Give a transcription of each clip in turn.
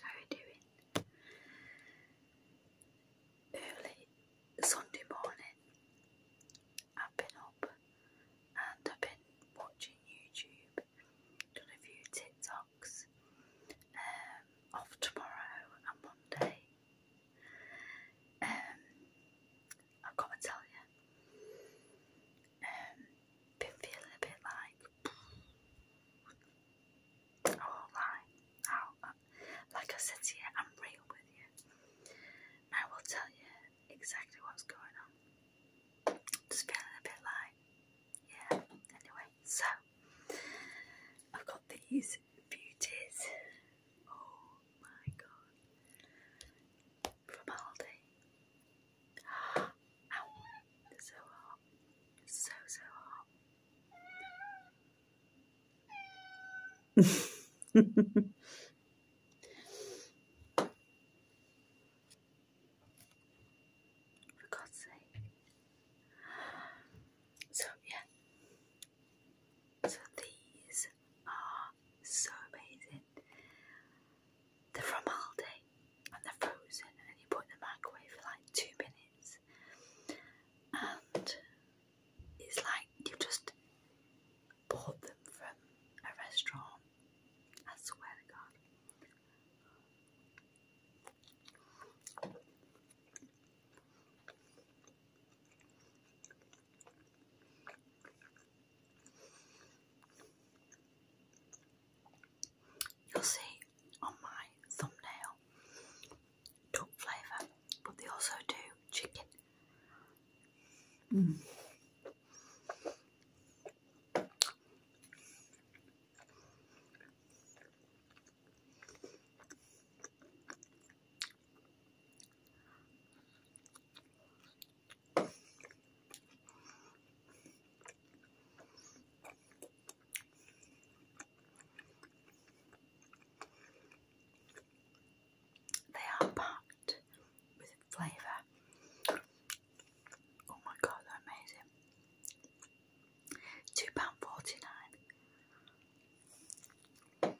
How are you doing? Early Sunday morning, I've been up and I've been watching YouTube, done a few TikToks um, of tomorrow and Monday. Um, I've got to tell you, um, it feels a bit like oh how oh, uh, like I said to you, I'm real with you. I will tell you exactly what's going on. Just feeling a bit like yeah. Anyway, so I've got these beauties. Oh my god. From Aldi so hot. So, so hot. For So, yeah. So, these are so amazing the formalde and they're frozen and you put in the microwave for like two minutes and it's like you just bought them from a restaurant I swear to god You'll see on my thumbnail duck flavour, but they also do chicken. They are packed with flavour. Oh my god, they're amazing. Two pound forty nine.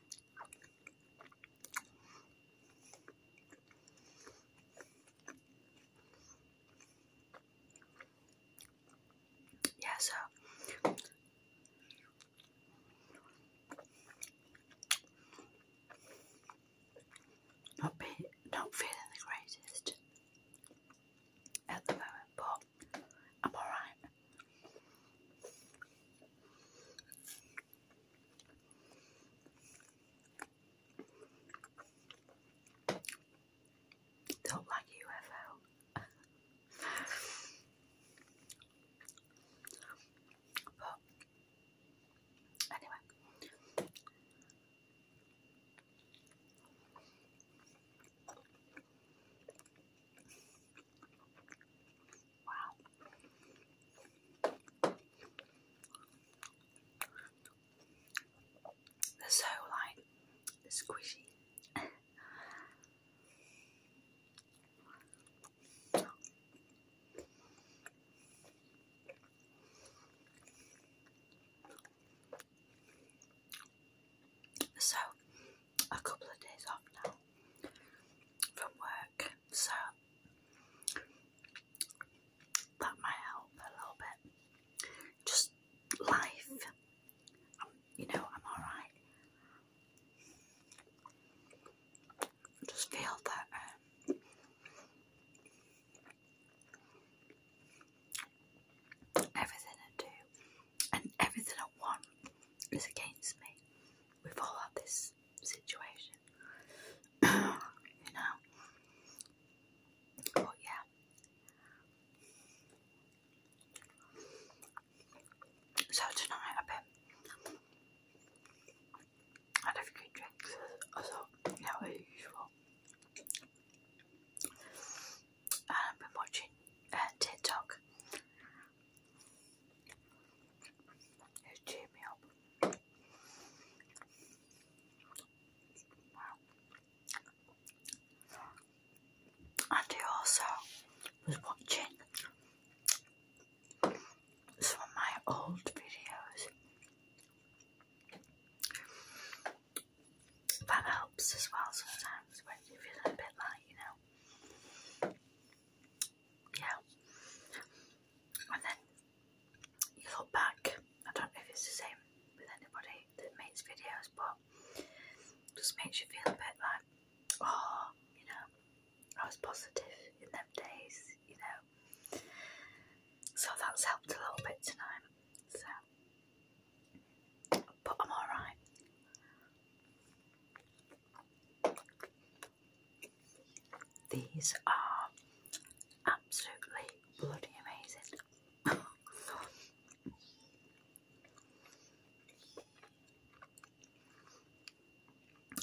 Yeah, so not be not feeling the greatest at the moment, but I'm alright. Don't like UFO. but anyway. Wow. They're so like squishy. so a couple of days off now from work, so that might help a little bit. Just life, you know, I'm alright. Just feel that um, everything I do and everything I want is against me. We've all had this situation, you know. But yeah, so tonight I've been had a drinks as, as, as usual. I've um, been watching uh, TikTok. It cheered me up. And I also was watching some of my old videos that helps as well sometimes when you're a bit light, you know. Yeah. And then you look back. I don't know if it's the same with anybody that makes videos, but just makes you feel a bit like, oh, you know, I was positive in them days, you know. So that's helped a little bit tonight. So but I'm alright. These are absolutely bloody amazing.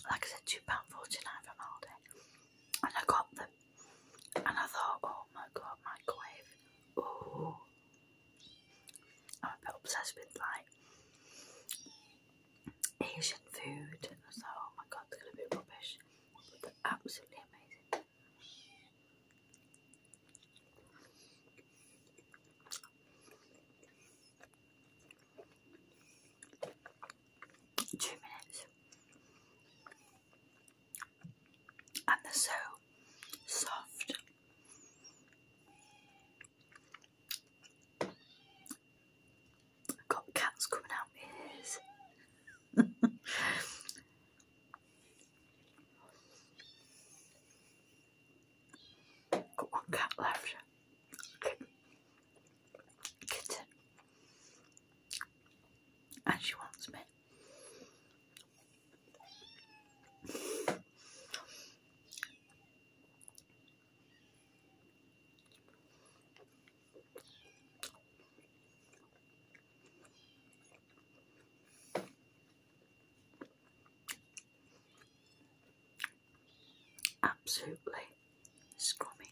like I said, £2.49 from Aldi and I got them and I thought, oh my god, microwave. Oh, I'm a bit obsessed with like Asian food. And I thought, oh my god, they're going to be rubbish. But they're absolutely amazing. Two minutes and they're so soft. got cats coming out my ears. got one cat left. Kitten. And she wants me. Absolutely scrummy.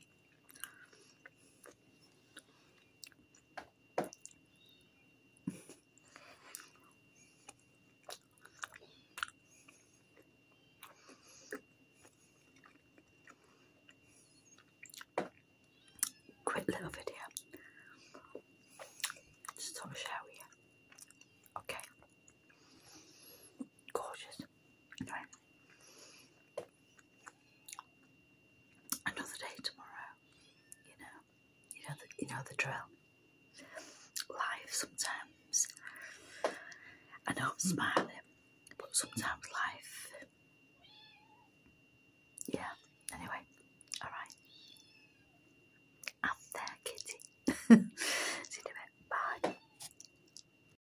Quick little video. Just sort Okay. Gorgeous. Right another day tomorrow. You know, you know the, you know the drill. Life sometimes. I don't smile smiling, but sometimes life. Yeah. Anyway, all right. I'm there, Kitty. See you in a Bye.